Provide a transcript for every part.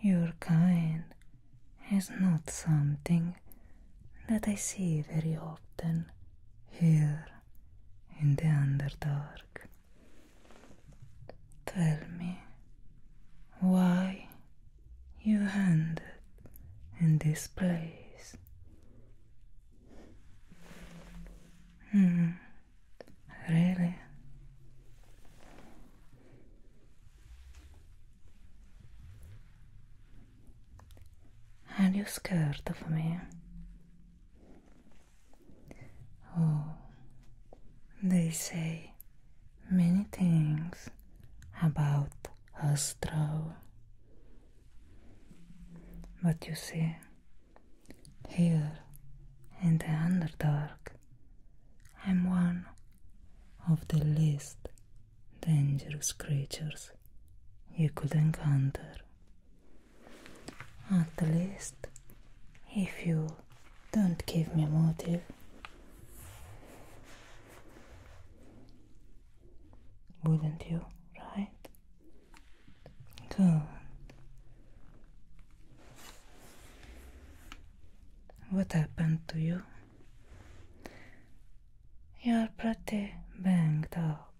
Your kind is not something that I see very often here in the Underdark. Tell me why you ended in this place. Hmm, really? Are you scared of me? Oh, they say many things about Astro. But you see, here in the Underdark, I'm one of the least dangerous creatures you could encounter. At least, if you don't give me a motive. Wouldn't you, right? Good. What happened to you? You're pretty banged up.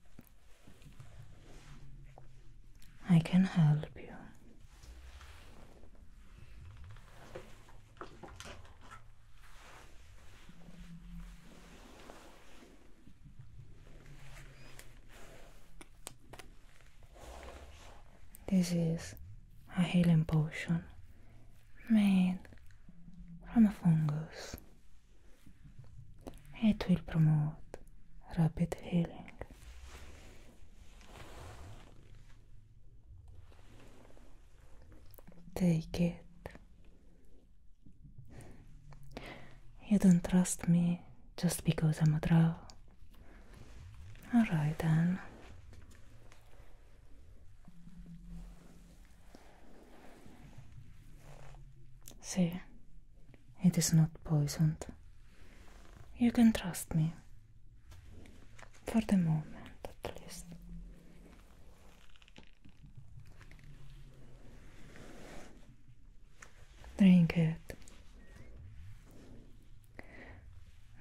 I can help you. This is a healing potion made from a fungus. It will promote rapid healing. Take it. You don't trust me just because I'm a drow. Alright then. See, it is not poisoned. You can trust me. For the moment, at least. Drink it.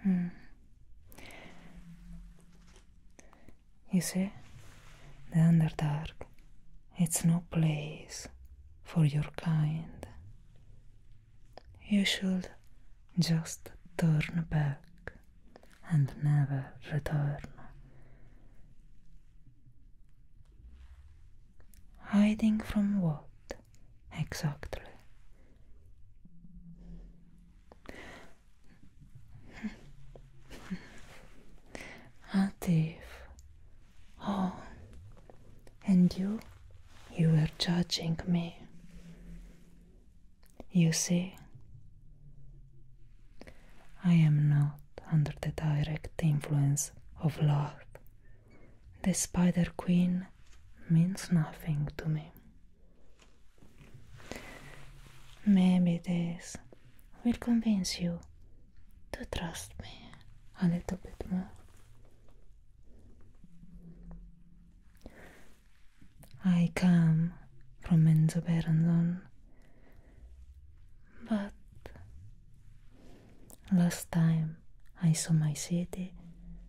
Hmm. You see, the Underdark, it's no place for your kind. You should just turn back and never return. Hiding from what? exactly. A thief. Oh, and you? You were judging me. You see, I am not under the direct influence of love the Spider Queen means nothing to me. Maybe this will convince you to trust me a little bit more. I come from Enzo but last time I saw my city,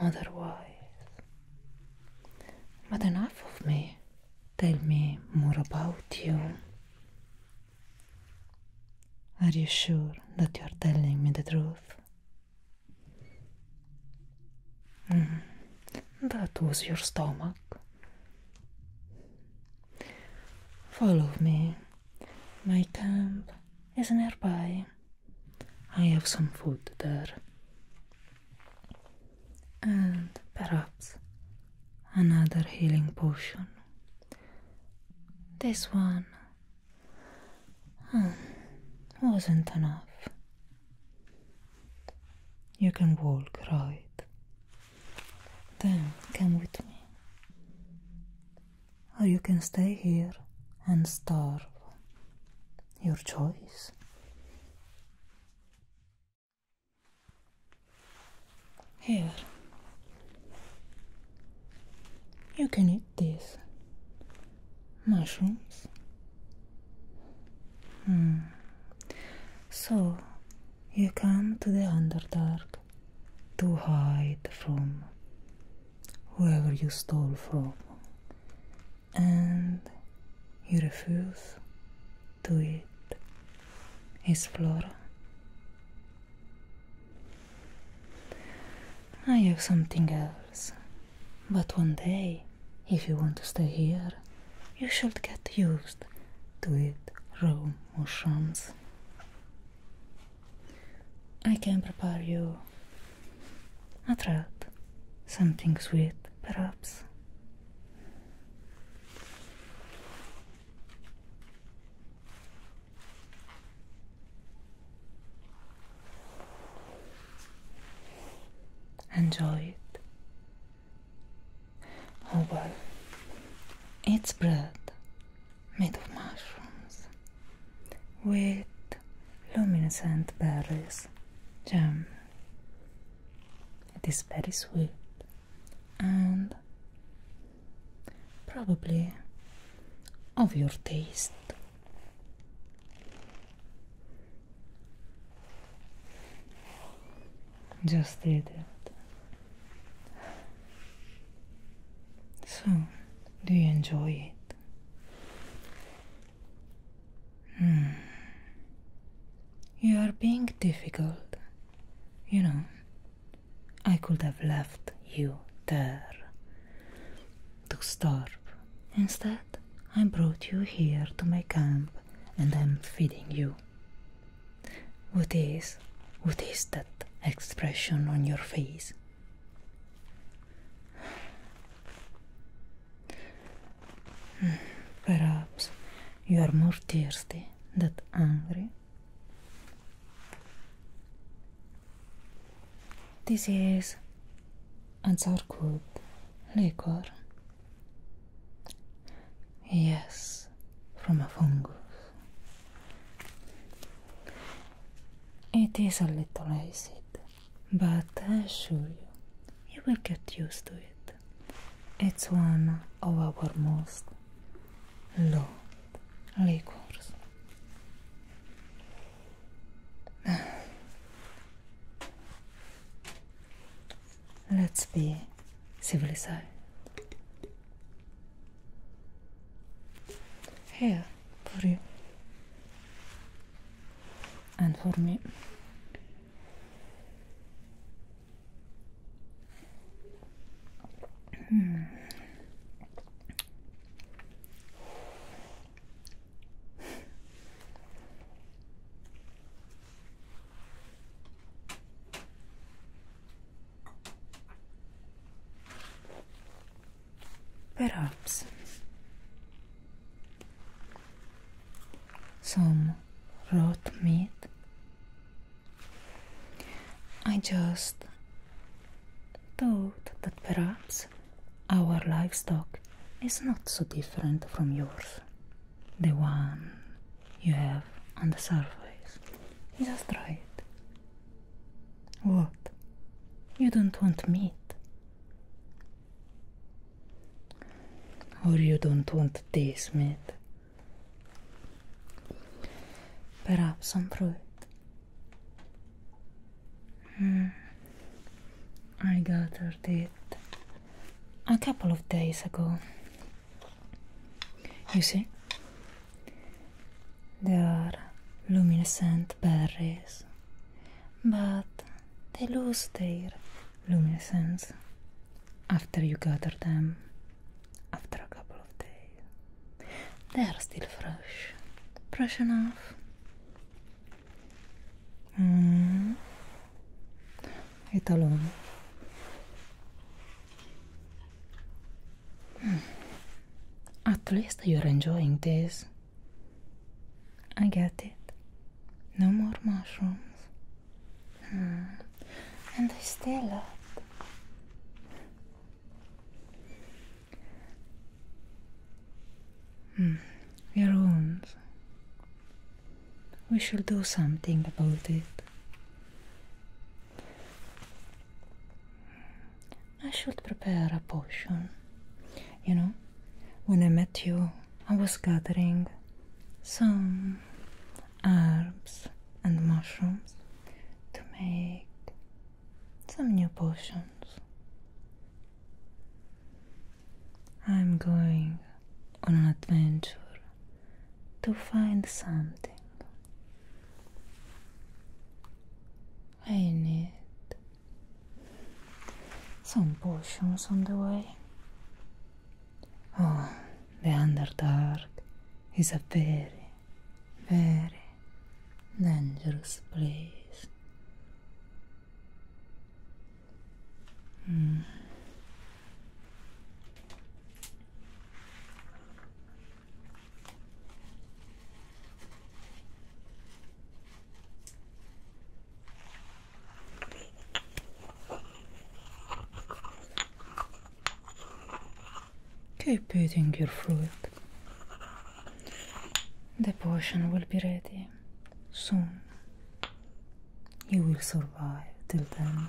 otherwise. But enough of me. Tell me more about you. Are you sure that you are telling me the truth? Mm-hmm. that was your stomach. Follow me. My camp is nearby i have some food there and perhaps another healing potion this one oh, wasn't enough you can walk right then come with me or you can stay here and starve. Your choice. Here. You can eat this mushrooms. Hmm. So, you come to the Underdark to hide from whoever you stole from, and you refuse to eat his flora. I have something else, but one day, if you want to stay here, you should get used to it, raw mushrooms. I can prepare you a treat, something sweet, perhaps. Enjoy it. Oh well, it's bread made of mushrooms with luminescent berries jam. It is very sweet and probably of your taste. Just eat it. So, do you enjoy it? Hmm. You are being difficult. You know, I could have left you there to starve. Instead, I brought you here to my camp and I'm feeding you. What is, what is that expression on your face? Perhaps you are more thirsty than angry. This is a good liquor. Yes, from a fungus. It is a little acid, but I assure you, you will get used to it. It's one of our most loved liquors. Let's be civilized. Here for you and for me. Hmm perhaps some raw meat. I just thought that perhaps our livestock is not so different from yours, the one you have on the surface. Just try it. What? You don't want meat? Or you don't want this meat? Perhaps some fruit. Hmm. I gathered it a couple of days ago. You see, there are luminescent berries, but they lose their luminescence after you gather them after a couple of days. They are still fresh, fresh enough. Mm. It alone. Hmm. At least you're enjoying this. I get it. No more mushrooms. Hmm. And I still love. Hmm. Your wounds. We shall do something about it. I should prepare a potion. You know, when I met you, I was gathering some herbs and mushrooms to make some new potions. I'm going on an adventure to find something. I need some potions on the way. Oh, the Underdark is a very, very dangerous place. Hmm. Keep eating your fruit. The potion will be ready soon. You will survive till then.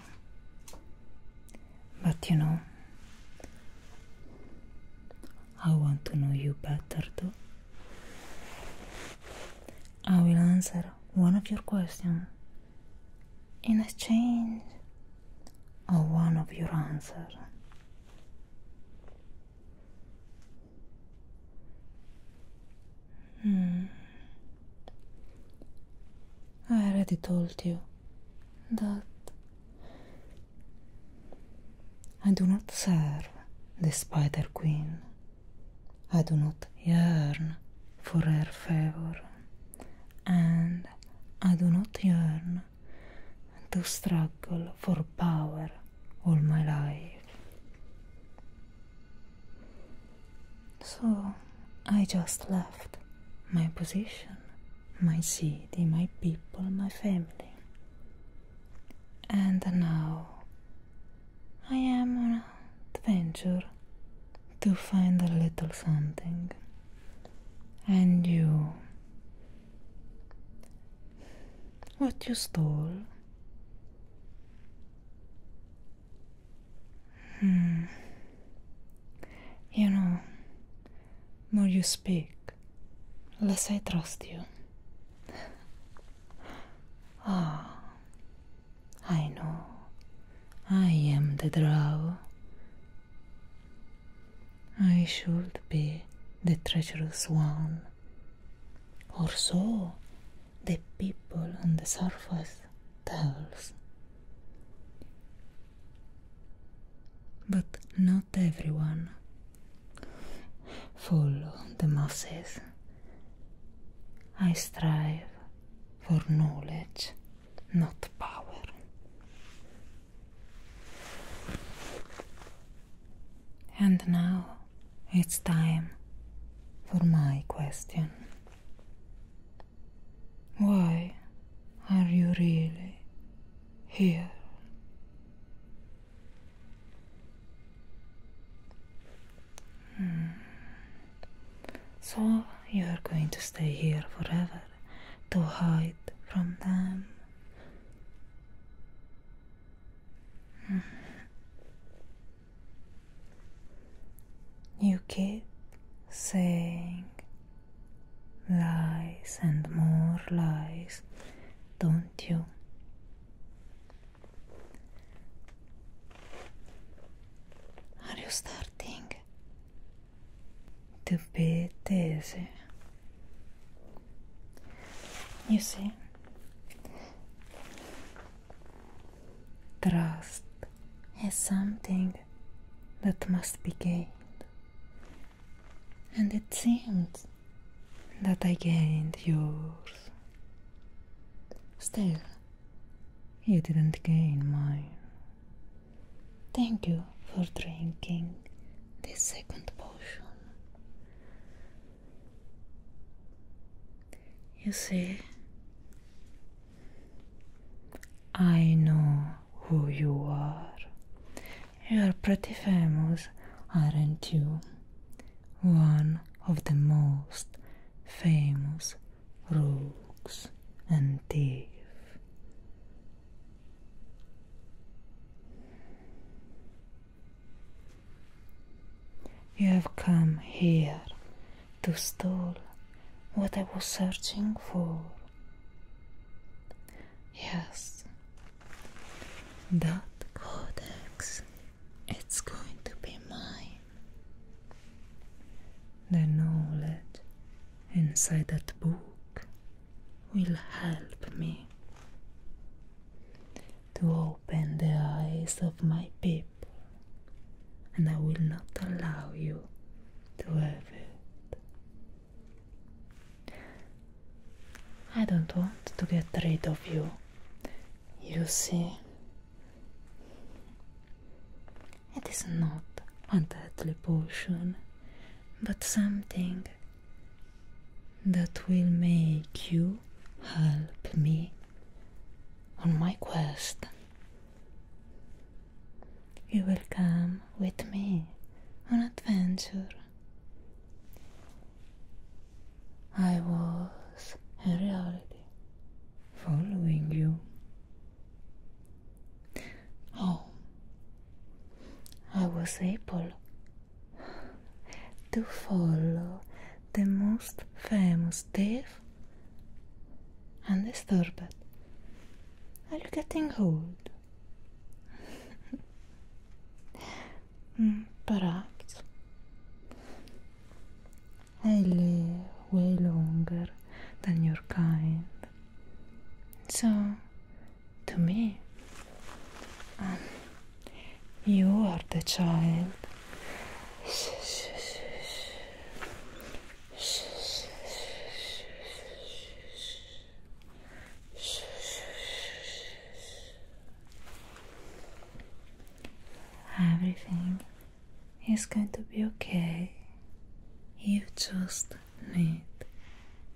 But you know, I want to know you better though. I will answer one of your questions in exchange of one of your answers. Hmm. I already told you that I do not serve the Spider Queen. I do not yearn for her favor, and I do not yearn to struggle for power all my life. So I just left my position my city, my people, my family. And now I am on an adventure to find a little something. And you. What you stole. Hmm. You know, more you speak, less I trust you. Ah, I know. I am the drow. I should be the treacherous one. Or so the people on the surface tells. But not everyone follow the masses. I strive for knowledge, not power. And now it's time for my question. Why are you really here? Hmm. So you are going to stay here forever to hide from them. Hmm. You keep saying Lies and more lies, don't you? Are you starting to be dizzy? You see, trust is something that must be gained and it seemed that I gained yours. Still, you didn't gain mine. Thank you for drinking this second potion. You see, I know who you are. You're pretty famous, aren't you? One of the most famous rogues and thieves. You have come here to steal what I was searching for. Yes, that codex, it's going to be mine. The knowledge inside that book will help me to open the eyes of my people and I will not allow you to have it. I don't want to get rid of you, you see. It is not a deadly potion, but something that will make you help me on my quest. You will come with me on adventure. I was, in reality, following you. Oh, I was able to follow the most famous thief and this turbot. Are you getting cold? Perhaps. I live way longer than your kind. So, to me, um, you are the child. Everything is going to be okay. You just need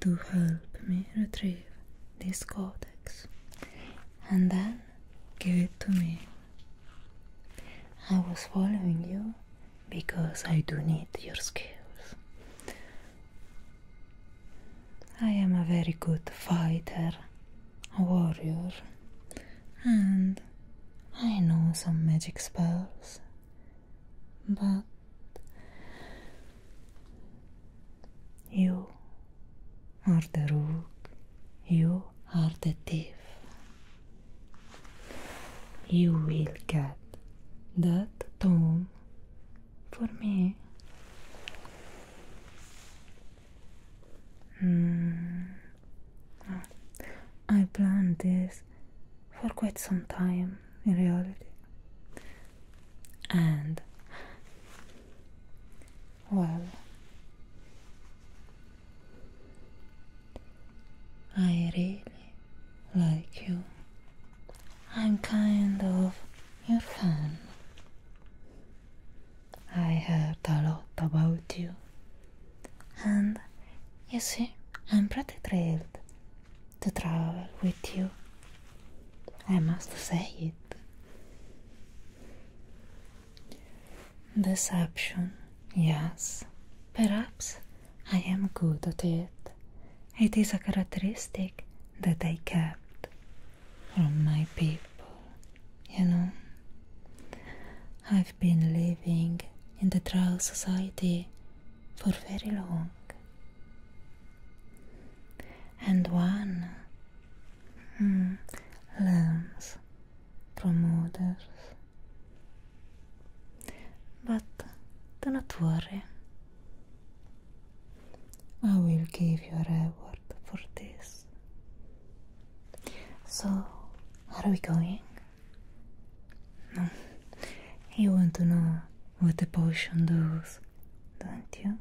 to help me retrieve this codex and then give it to me. I was following you because I do need your skills. I am a very good fighter, a warrior, and I know some magic spells, but you are the rogue. you are the thief, you will get that tone for me. Mm. Oh. I planned this for quite some time in reality. And well, I really like you. I'm kind of your fan. I heard a lot about you. And you see, I'm pretty thrilled to travel with you. I must say it. Deception, yes. Perhaps I am good at it. It is a characteristic that I kept from my people, you know. I've been living in the Drow Society for very long. And one hmm, learns Promoters, But do not worry, I will give you a reward for this. So, are we going? No, you want to know what the potion does, don't you?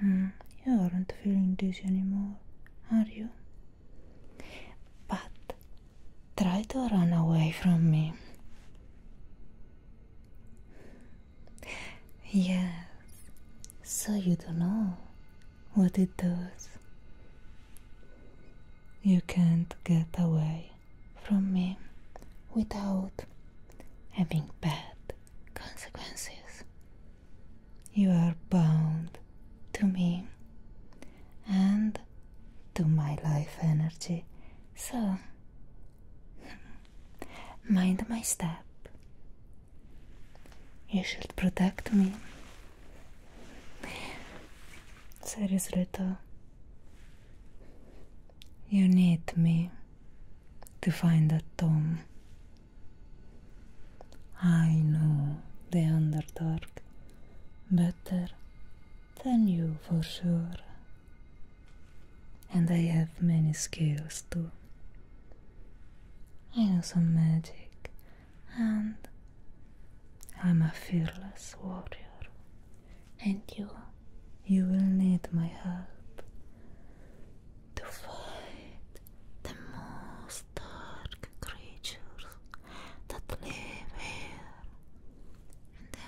Hmm, you aren't feeling this anymore, are you? But try to run away from me. Yes, so you don't know what it does. You can't get away from me without having bad consequences. You are bound to me and to my life energy. So, mind my step. You should protect me. Seriously, though, you need me to find a tomb I know the Underdark better than you for sure, and I have many skills too. I know some magic, and I'm a fearless warrior, and you, you will need my help to fight the most dark creatures that live here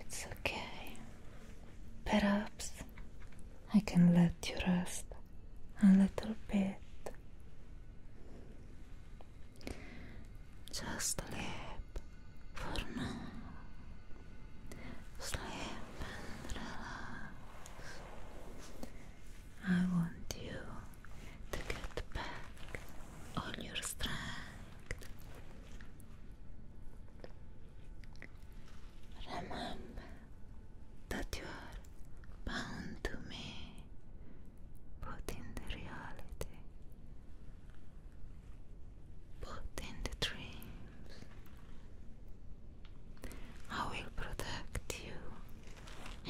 It's okay. Perhaps I can let you rest a little bit. Just a live for now. Sleep and relax. I want you to get back all your strength. Remember that you are bound to me, but the reality Put in the dreams. I will protect you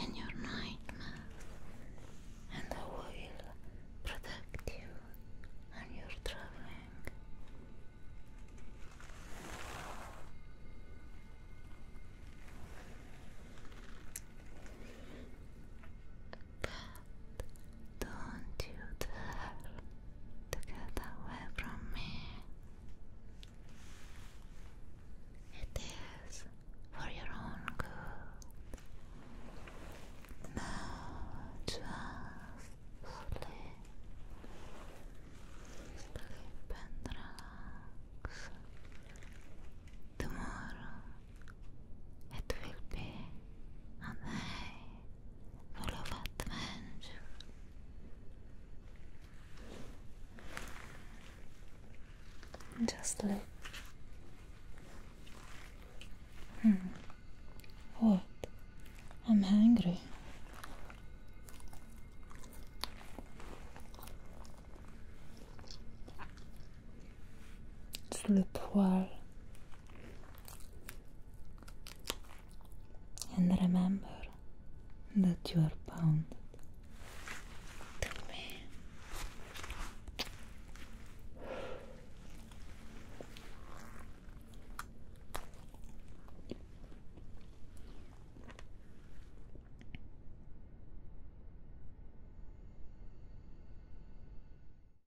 in your nightmares, and I will protect you when you're traveling. Don't you dare to get away from me. It is for your own good. Now just sleep. Sleep and relax. Tomorrow it will be a day full of adventure. Just look. Hmm. What? I'm hungry. Sleep well. And remember that you are bound to me.